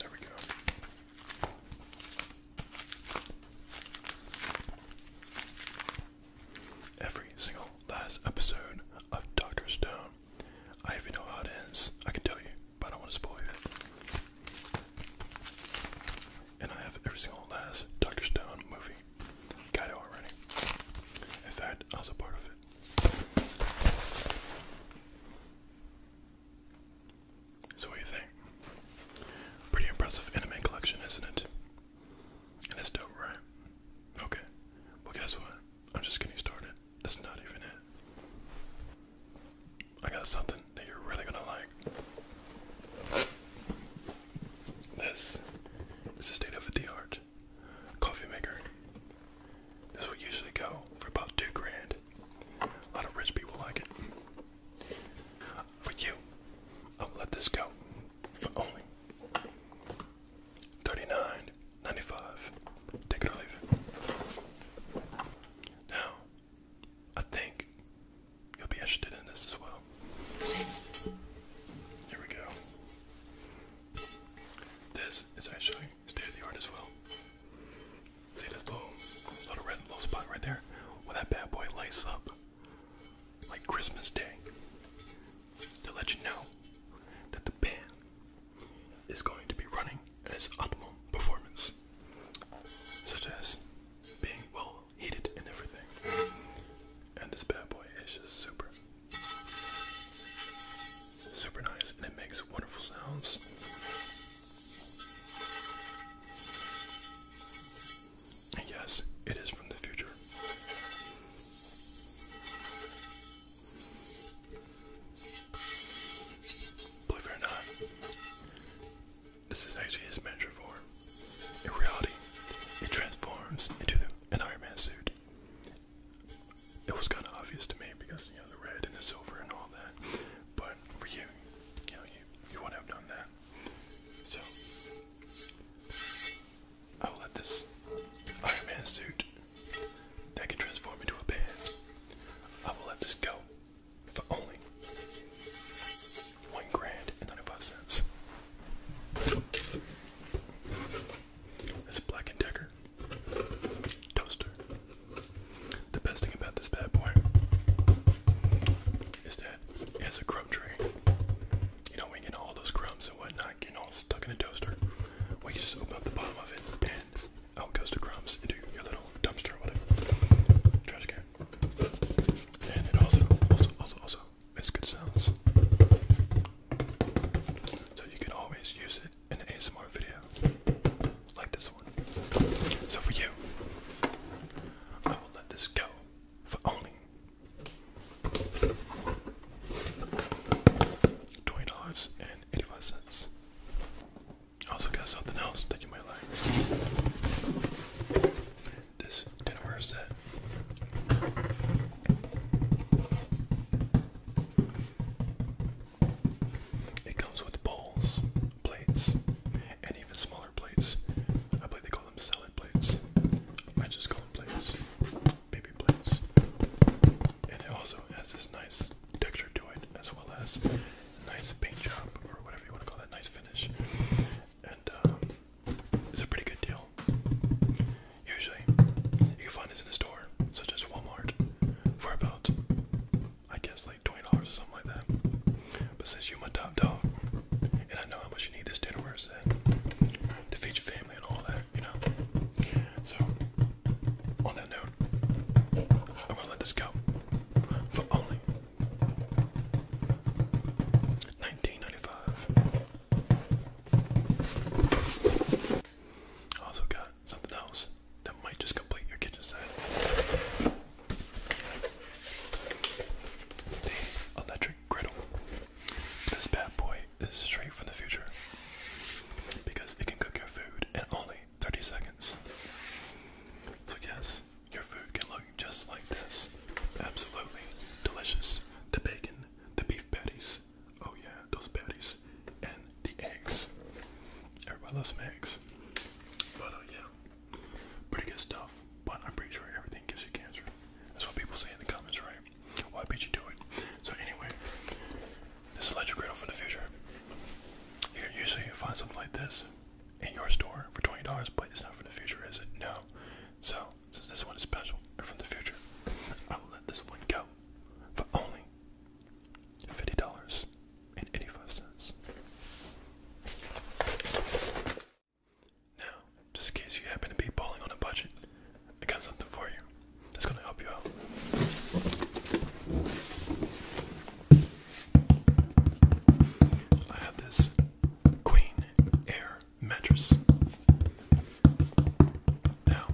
there we go. Every single last episode of Doctor Stone. I even know how it ends. I can tell you, but I don't want to spoil it. And I have every single last Doctor Stone movie. Got it already. In fact, I was a part of it. So, what do you think? Pretty impressive anime collection, isn't it? That's dope, right? Okay. Well, guess what? I'm just getting started. That's not even it. I got something that you're really gonna like. This is state of the art coffee maker. This will usually go for about two grand. A lot of rich people like it. For you, I'll let this go for only thirty-nine ninety-five. Take it or leave it. Now, I think you'll be interested in this as well. Here we go. This is actually state of the art as well. See this little little red little spot right there? When that bad boy lights up like Christmas Day to let you know that the band is going to be running at its optimal performance, such as being well heated and everything. And this bad boy is just super Super nice, and it makes wonderful sounds. yes, it is from the future. Believe it or not, this is actually his miniature In reality, it transforms into an Iron Man suit it was kind of obvious to me because you know the red and the silver and all that. But for you, you know, you you wouldn't have done that. So I will let this Iron Man suit that can transform into a pan. I will let this go for only one grand and ninety-five cents. This Black & Decker toaster. The best thing about this bad boy is that it has a crumb tray. You know, we get all those crumbs and whatnot getting all stuck in a toaster. We just open up the bottom of it and out goes the crumbs into your little dumpster whatever. Trash can. And it also, also, also, also it's good sounds. So you can always use it in an ASMR video like this one. So for you, I will let this go for only $20.85. I also got something else that you might like. This dinnerware set it comes with bowls, plates, and even smaller plates. I believe they call them salad plates. I just call them plates, baby plates. And it also has this nice texture to it, as well as nice paint job or whatever you want to call that, nice finish. And um, it's a pretty good deal. Usually, you can find this in a store, such as Walmart, for about, I guess, like $20 or something like that. But since you're my top dog, and I know how much you need this dinnerware set to feed your family and all that, you know? So, on that note, I'm gonna let this go for only 19 I also got something else that might just complete your kitchen set. The electric griddle. This bad boy is straight from the future because it can cook your food in only 30 seconds. So, yes, your food can look just like this. Absolutely delicious. The bacon, the beef patties, Oh yeah, those patties and the eggs. Everybody loves some eggs. But uh, yeah, pretty good stuff. But I'm pretty sure everything gives you cancer. That's what people say in the comments, right? Well, I bet you do it. So anyway, this is let your griddle from the future. You can usually find something like this in your store for $20, but it's not from the future, is it? No. So, since this one is special and from the future, I will let this one go for only fifty dollars and eighty-five cents. Now, just in case you happen to be balling on a budget, I got something for you that's gonna help you out. I have this Queen Air mattress. Now,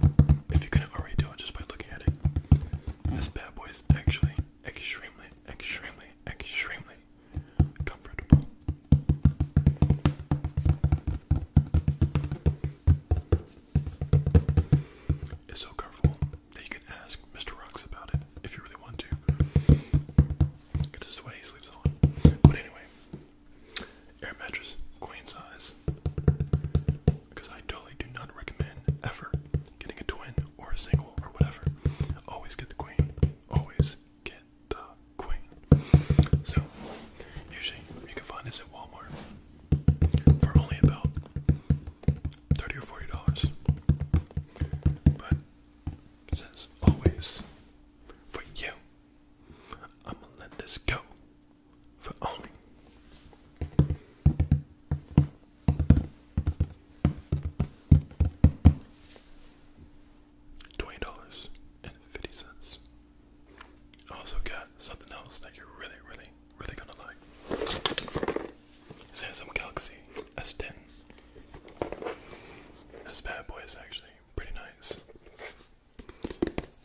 if you couldn't already tell just by looking at it, this bad boy is actually extremely, extremely, extremely comfortable. It's so comfortable that you can ask Mr. Rocks about it if you really want to. This is the way he sleeps on. But anyway, Air mattress, queen size. Because I totally do not recommend ever getting a twin or a single or whatever. Always get the queen. Always get the queen. So, usually you can find this at Walmart for only about thirty or forty dollars. But it always for you. I'm gonna let this go for only twenty dollars and fifty cents. I also got something else that you're really, really, really gonna like. Samsung Galaxy S10. This bad boy is actually pretty nice.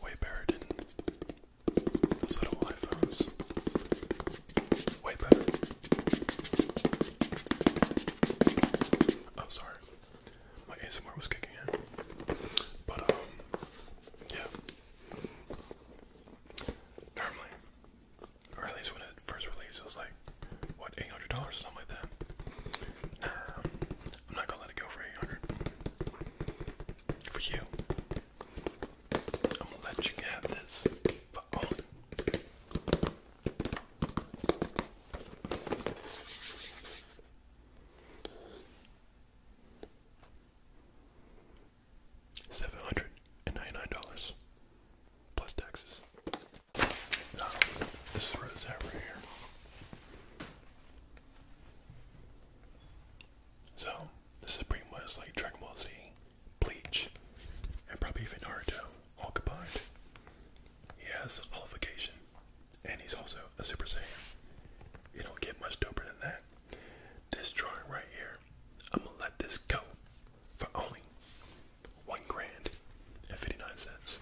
Way better than those little iPhones. Way better. Oh, sorry. My ASMR was kicking in. But, um, yeah. Normally, or at least when it first released, it was like, what, $800 something like that? Um, I'm not gonna let it go for 800. For you. I'm gonna let you have this. Oh. Seven hundred and ninety-nine dollars plus taxes. Oh, this is where right here. So this is pretty much like Dragon Ball Z, Bleach, and probably even Naruto all combined. He has Olification, and he's also a Super Saiyan. You don't get much doper than that. This drawing right here, I'm gonna let this go for only one grand and fifty nine cents.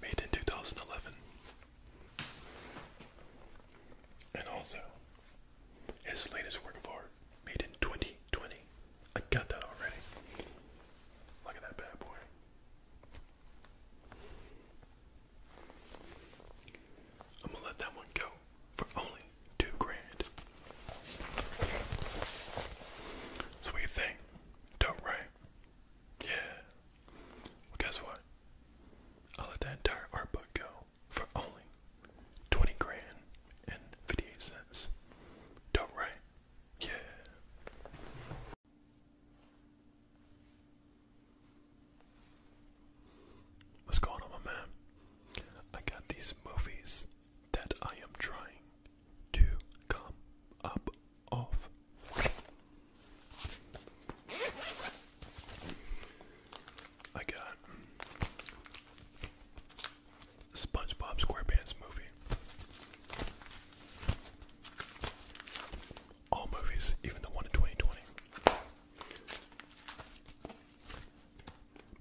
Made in 2011. And also, his latest work of art, made in 2020. I got that already. Look at that bad boy. I'm gonna let that one go for only two grand. So what you think? Dope, right? Yeah. Well, guess what? I let that entire art book go for only twenty grand and fifty-eight cents. Dope, right? Yeah. What's going on, my man? I got these movies that I am trying to come up off. I got SpongeBob SquarePants movie. All movies, even the one in 2020.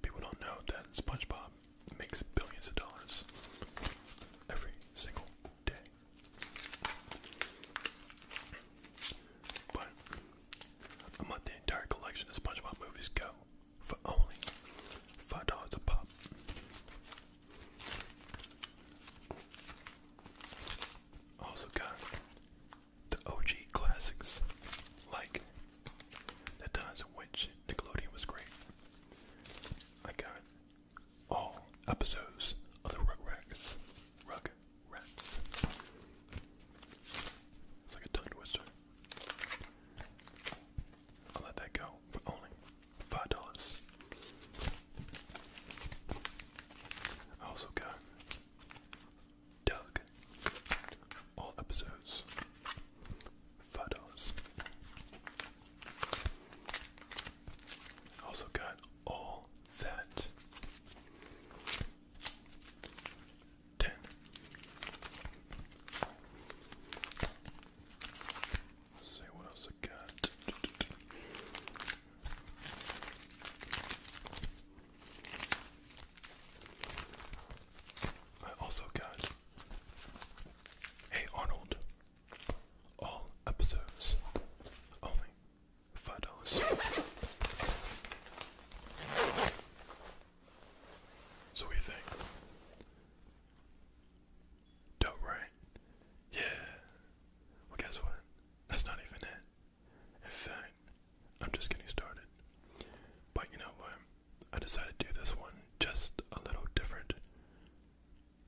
People don't know that SpongeBob makes billions of dollars every single day. But I'm let the entire collection of SpongeBob movies go for only five dollars a pop. Also got the OG classics, like the times in which Nickelodeon was great, I got all episodes of the Rugrats. Rats. It's like a tongue twister. I'll let that go for only five dollars. I also got Doug. All episodes photos. Also got all that. 10 see what else I got. I also got Hey Arnold, all episodes only five dollars. So what do you think? Dope, right? Yeah. Well, guess what? That's not even it. In fact, I'm just getting started. But you know what? I decided to do this one just a little different.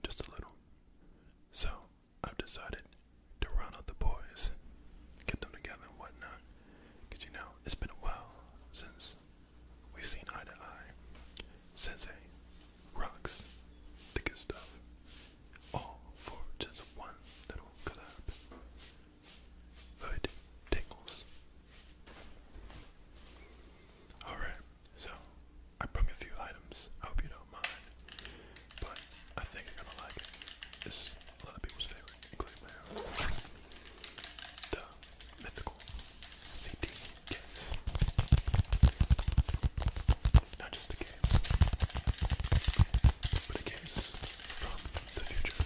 Just a little. So I've decided to run out the boys, get them together and whatnot. Because you know, it's been a while since we've seen eye to eye. Sensei rocks the good stuff. All for just one little collab. Hood tingles. Alright, so I brought a few items. I hope you don't mind. But I think you're gonna like it. a lot of people's favorite, including my own. The mythical CD case. Not just a case, but a case from the future.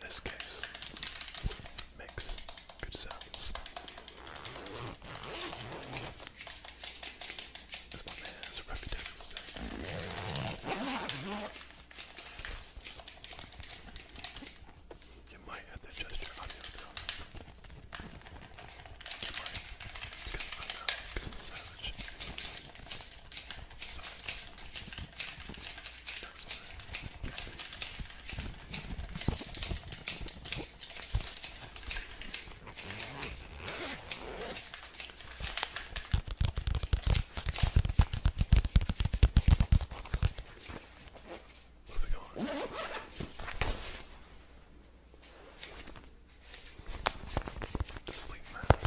This case makes good sounds. This one has a reputation for sound. You might have to adjust your audio though. You might, because I'm not, because I'm savage. So, that's I Moving on. The sleep mask.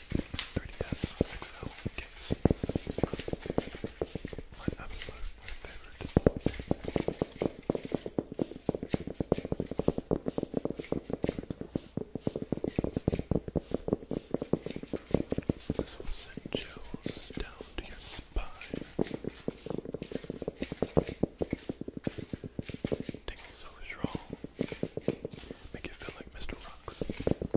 3DS XL case. My absolute favorite. This chills down to your spine. Tingles so strong. Make you feel like Mr. Rocks.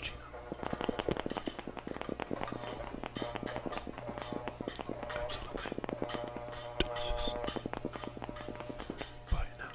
Gina. Absolutely delicious. Bye now.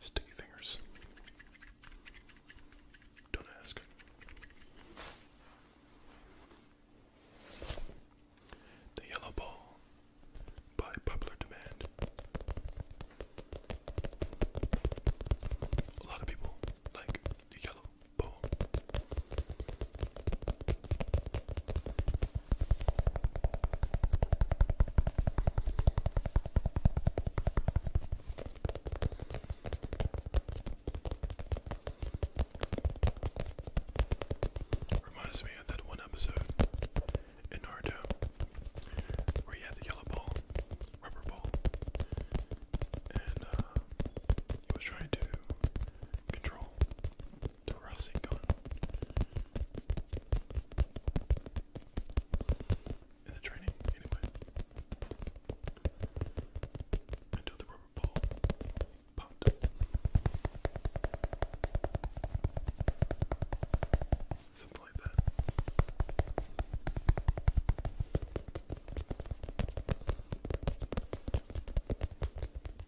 Sticky fingers. Don't ask. The Yellow Ball by popular demand. A lot of people like the yellow Boom. Reminds me of that one episode in Naruto where you had the yellow ball, rubber ball, and uh, he was trying to control thoracic on in the training, anyway. Until the rubber ball popped. Something like that.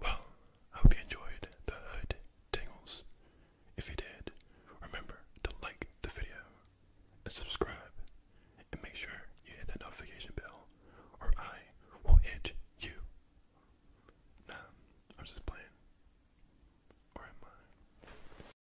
Well, I hope you enjoyed the hood tingles. If you did, remember to like the video and subscribe and make sure you hit that notification bell or I will hit you. Nah, I'm just playing. Or am I?